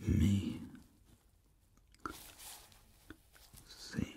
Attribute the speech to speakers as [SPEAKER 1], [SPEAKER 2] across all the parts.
[SPEAKER 1] Let me see.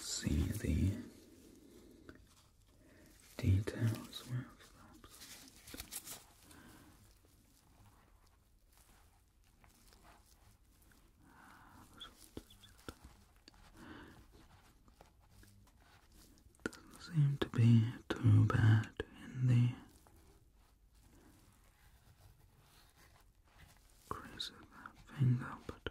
[SPEAKER 1] see the details doesn't seem to be too bad in the crease of that finger, but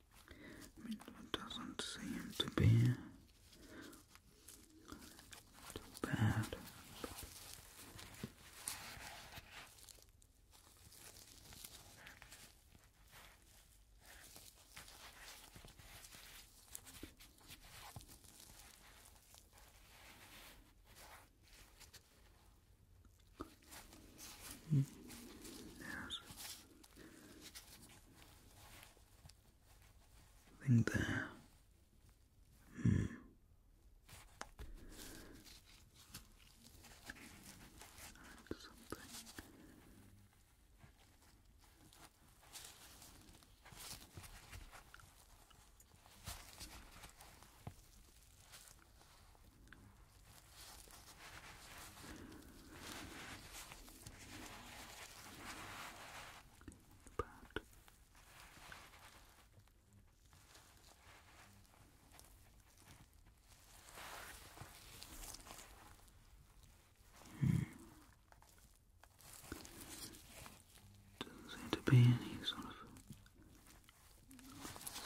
[SPEAKER 1] it doesn't seem to be too bad. Yes. Something there. Hmm. something. But doesn't seem to be any sort of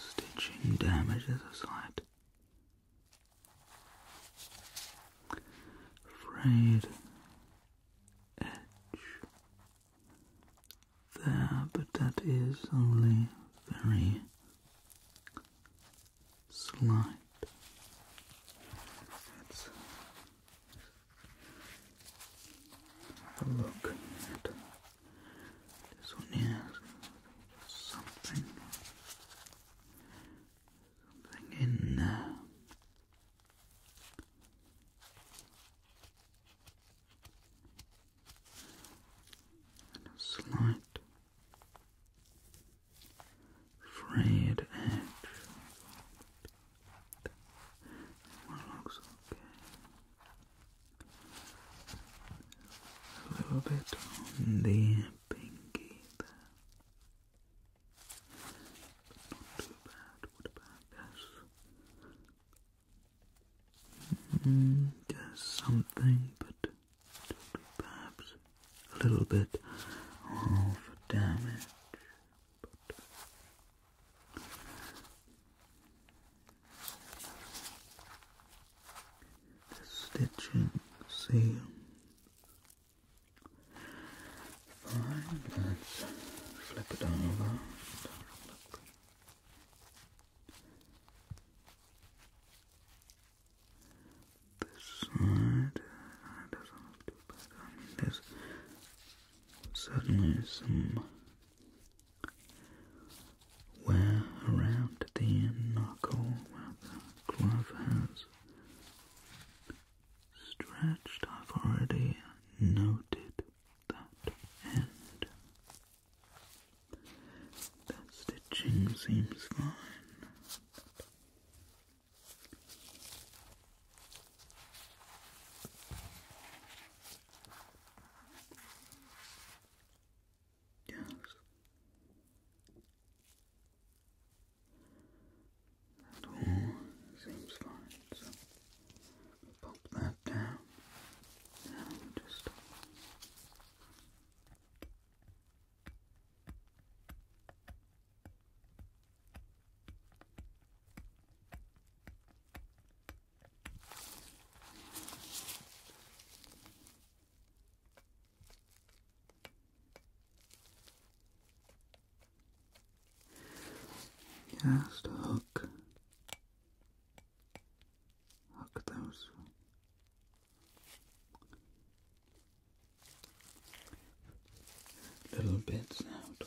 [SPEAKER 1] stitching damage. There's a slight frayed edge there, but that is only very slight. Let's have a look at this one here. Something Something in there. Uh, and a slight frayed edge. looks okay. A little bit on the pinky not too bad. What about this? just something, but perhaps a little bit of uh, damage the stitching seam. Fine, let's flip it over. This side doesn't look too bad. I mean, there's certainly some where around the knuckle where the glove has stretched, I've already noted that end. The stitching seems fine. Yes. That all seems fine, so pop that down and just just hook, hook those little bits out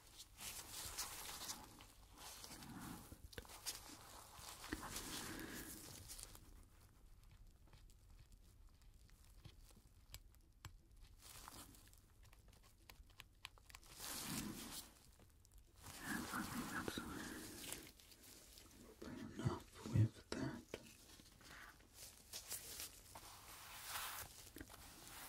[SPEAKER 1] And I think that's enough with that.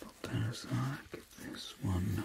[SPEAKER 1] Put that aside, get this one.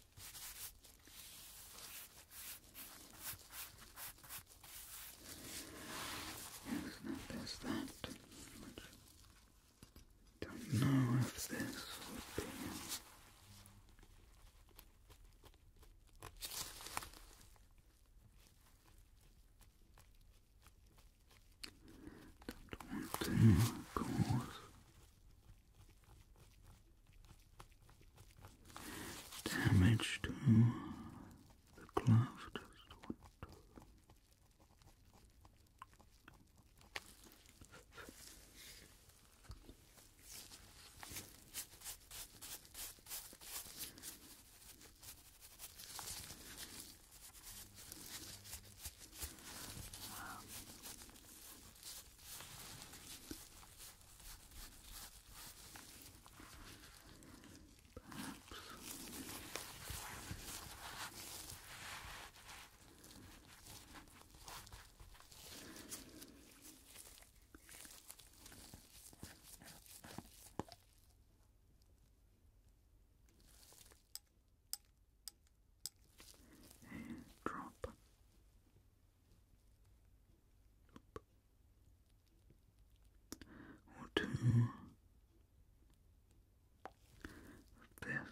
[SPEAKER 1] Yes, that is that. don't know if this would be. Don't want to cause Damage to the glove a drop or two of this.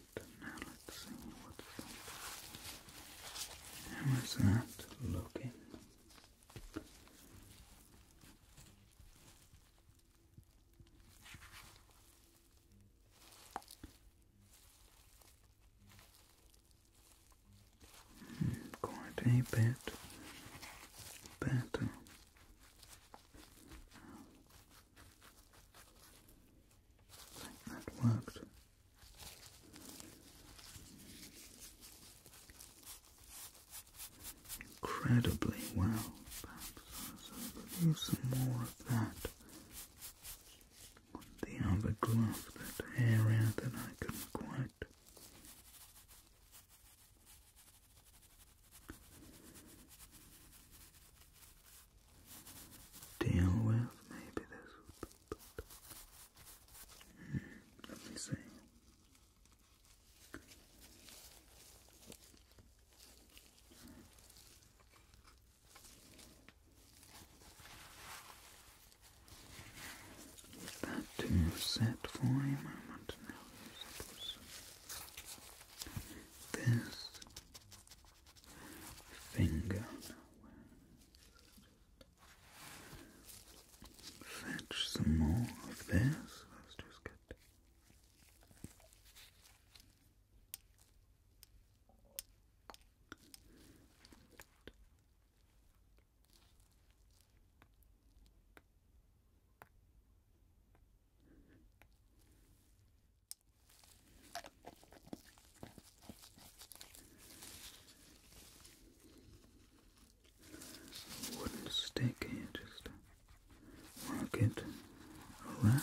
[SPEAKER 1] that? Now let's see that. How is that looking? Hmm, quite a bit better. That worked. Incredibly well. Perhaps I'll use some more of that on the other area that I couldn't quite deal with. Maybe this. Hmm, let me see. that too set for a moment now? This finger fetch some more of this. let just get wooden stick here, just work it around.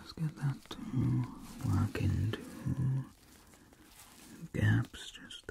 [SPEAKER 1] Let's get that to work into gaps just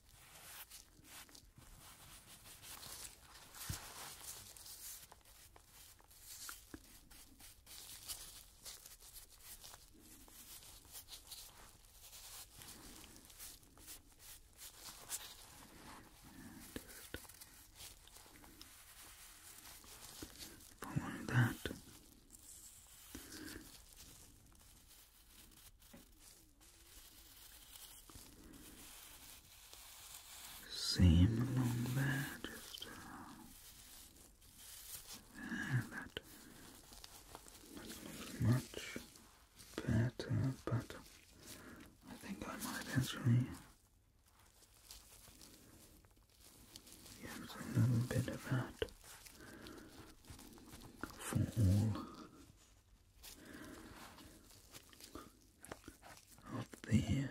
[SPEAKER 1] Following that, same along there, just uh, that, much better, but I think I might actually use a little bit of that for all of the fingers.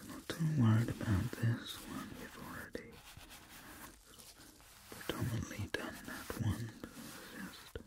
[SPEAKER 1] I'm not too worried about this one, we've already predominantly done that one, just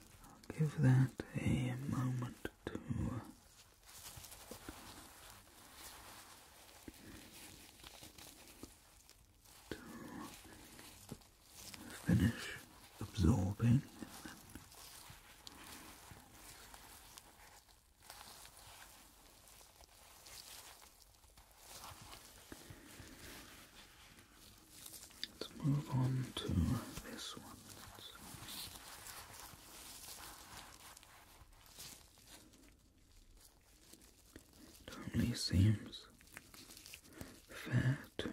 [SPEAKER 1] I'll give that a moment to uh, to finish absorbing. Let's move on to this one. It only seems fair to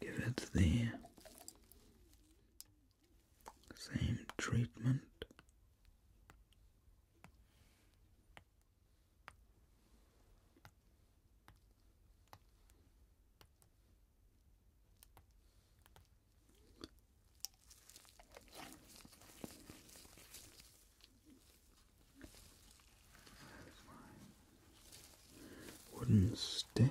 [SPEAKER 1] give it the same treatment my wooden stick.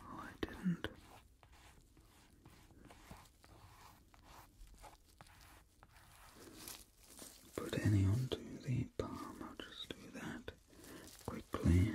[SPEAKER 1] Oh, I didn't. Put any onto the palm, I'll just do that quickly.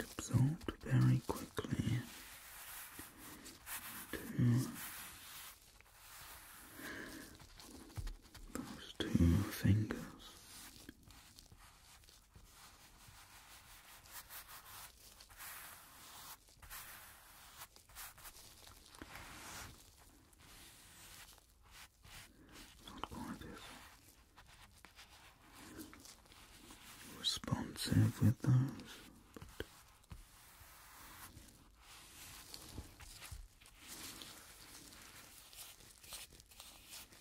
[SPEAKER 1] Absorbed very quickly into those fingers. Responsive with those.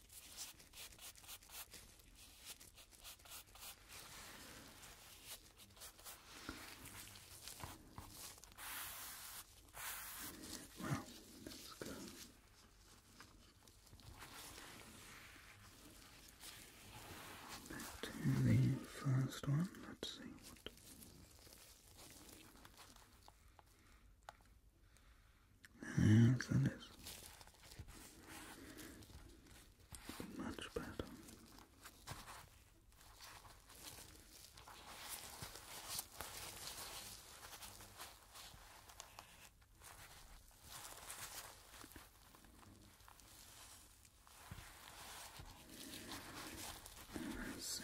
[SPEAKER 1] Well, let's go. to the first one. Let's see Yes, that is much better. see.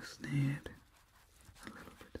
[SPEAKER 1] Just need a little bit of it.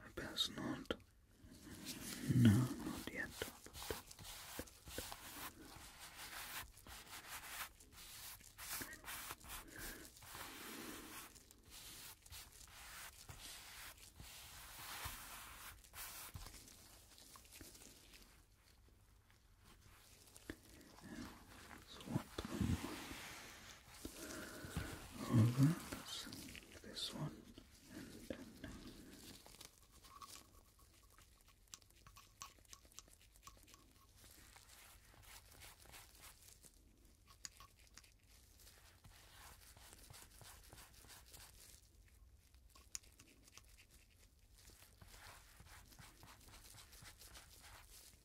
[SPEAKER 1] I best not. No, not yet. Swap them over this one and then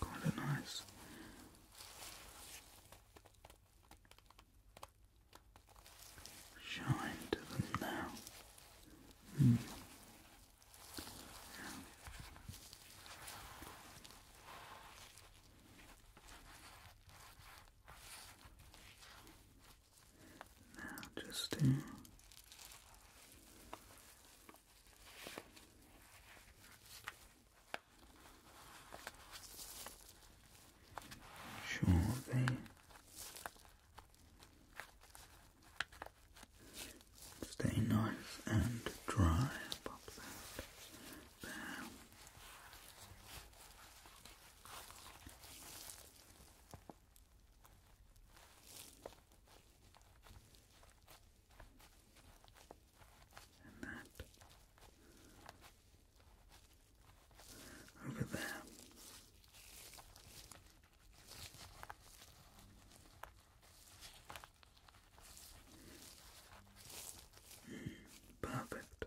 [SPEAKER 1] Quite a nice shine to them now. Now just to Surely, stay nice and dry above that there and that over there. perfect.